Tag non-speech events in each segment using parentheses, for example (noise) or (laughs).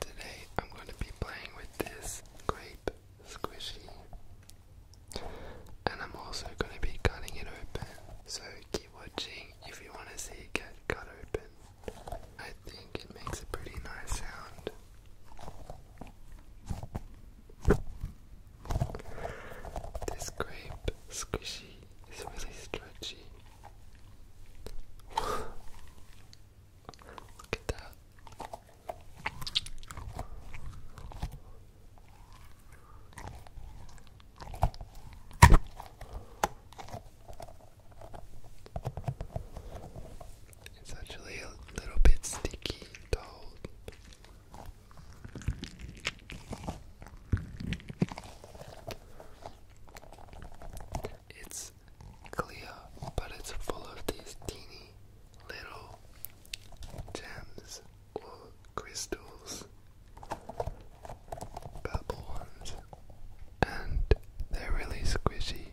today I'm going to be playing with this grape squishy, and I'm also going to be cutting it open. So keep watching if you want to see it get cut open. I think it makes a pretty nice sound. This grape squishy is really stretchy. (sighs) Look at that. It's actually a little bit sticky It's clear, but it's full of these teeny little gems or crystals, purple ones, and they're really squishy.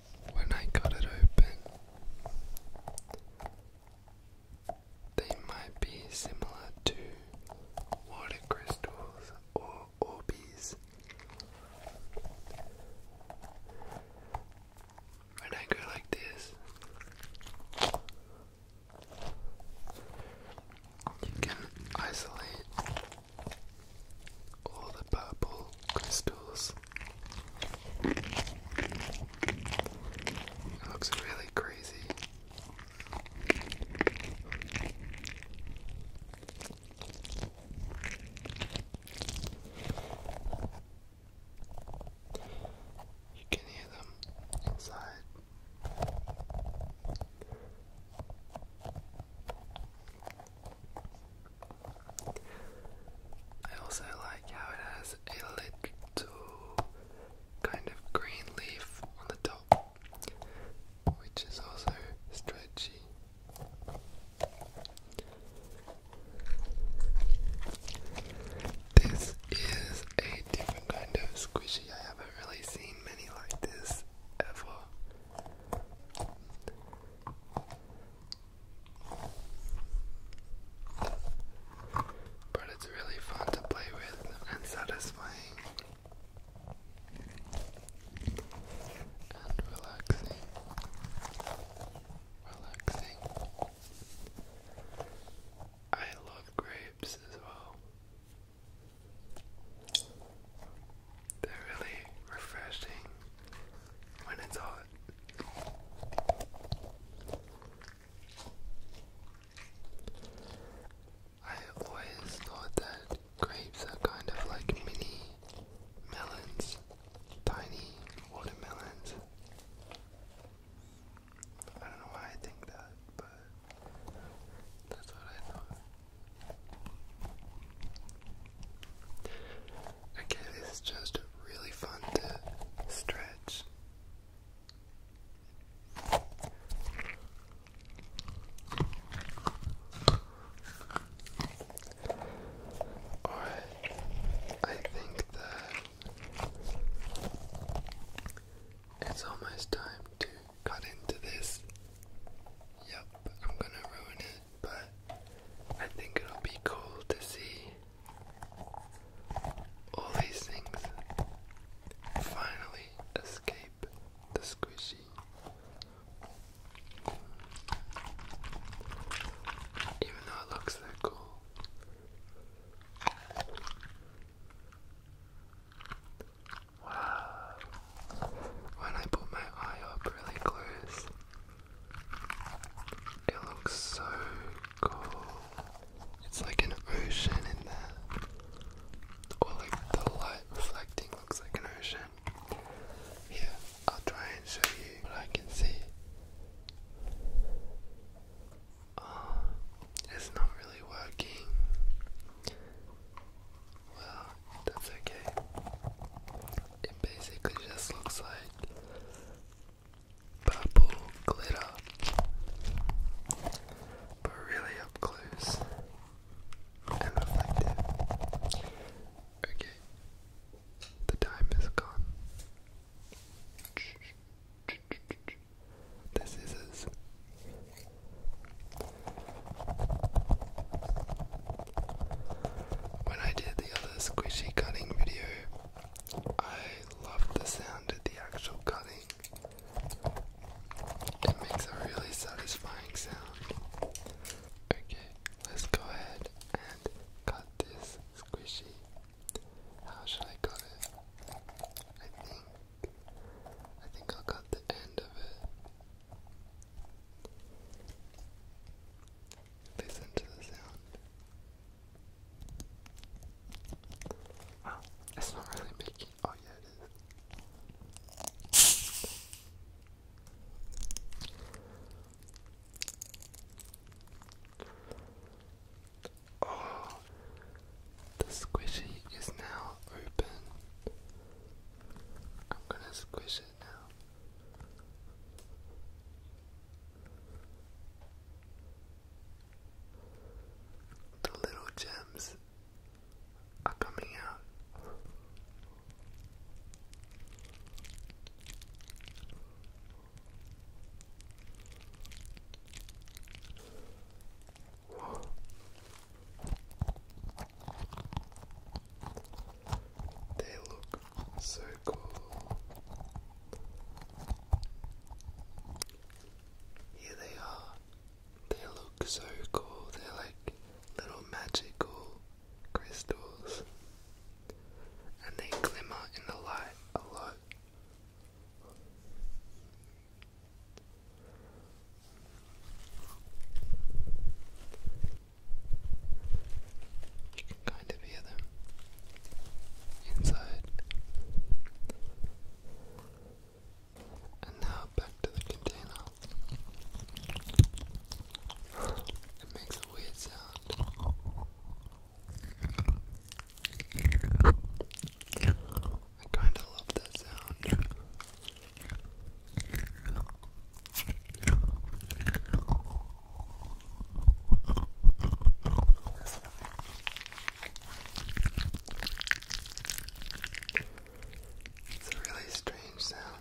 when I cut it open, they might be similar to water crystals or orbies. When I go like this, you can isolate all the purple crystals. It looks really crazy. You can hear them inside. I also like how it has a little kind of green leaf on the top, which is also stretchy. This is a different kind of squishy. I haven't really seen many like this ever. But it's really fun to play with and satisfying and relaxing. Relaxing. I love grapes as well. They're really refreshing when it's hot. I always thought that grapes are kind of like mini melons, tiny watermelons. I don't know why I think that, but that's what I thought. Okay, this just really fun to stretch. Alright, I think that it's almost time to got into this. Yep, I'm gonna ruin it, but I think it'll be cool to see all these things finally escape the squishy. Even though it looks that cool. Wow. When I put my eye up really close, it looks so cool. It's like an ocean in there. Or like the light reflecting looks like an ocean. Here, I'll try and show you what I can see. Oh, it's not really working. Well, that's okay. It basically just looks like purple glitter, but really up close and reflective. Okay, the time is gone much the scissors. When I did the other squishy cutting video, I loved the sound of the actual cutting. It makes a really satisfying sound. Okay, let's go ahead and cut this squishy. How should I cut it? I think I think I'll cut the end of it. Listen to the sound. Wow, ah, it's not really making. Oh, yeah, it is. Oh, the squishy is now open. I'm gonna squish it now. The little gems are coming out. They look so cool. Here they are. They look so cool. They're like little magical crystals. And they glimmer in the light a lot. You kind of hear them inside. And now back to the container. it makes a weird sound. I kind of love that sound. It's a really strange sound.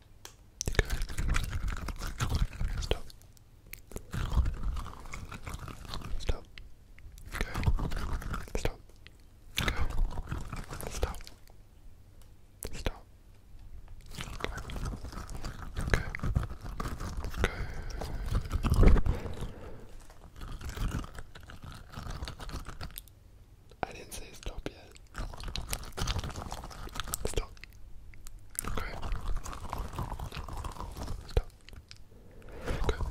Stop. Stop. Go. Stop. Go. Stop. Stop. Go. Go. Go. I didn't say stop yet. Stop. Okay. Stop. Good. Well,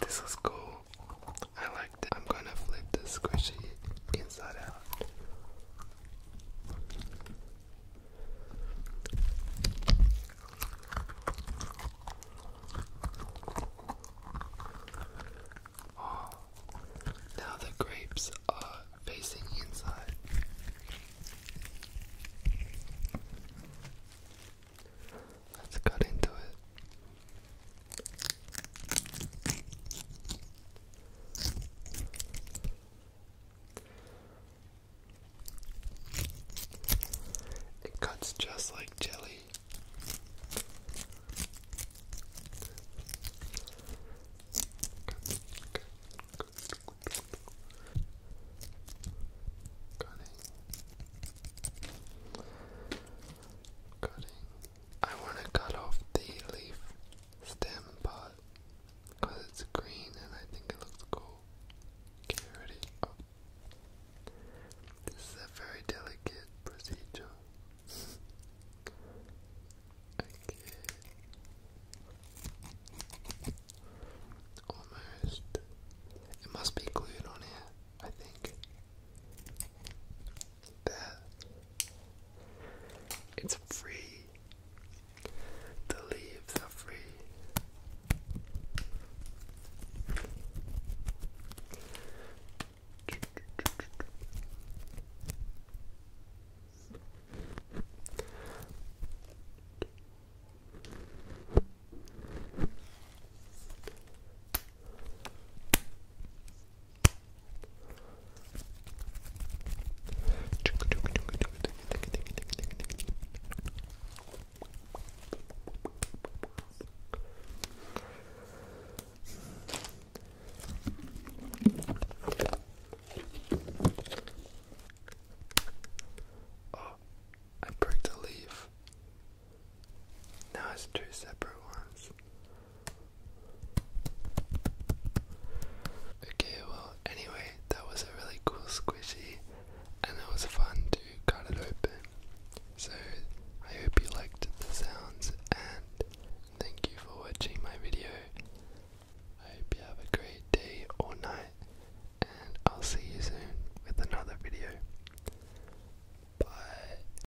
this is cool. I like I'm gonna flip the squishy inside out. Oh, now the grapes are facing inside. Let's cut into it. It cuts just like jelly. Cutting. Cutting. I want to cut off the leaf stem part because it's green and I think it looks cool. Okay, ready? Oh. This is a very delicate procedure. (laughs) okay. Almost. It must be glued on here, I think it's free. The leaves are free. Oh, I broke the leaf. Now it's two separate ones. Okay, well, anyway, that was a really cool squishy, and it was fun to cut it open. So, I hope you liked the sounds, and thank you for watching my video. I hope you have a great day or night, and I'll see you soon with another video. Bye.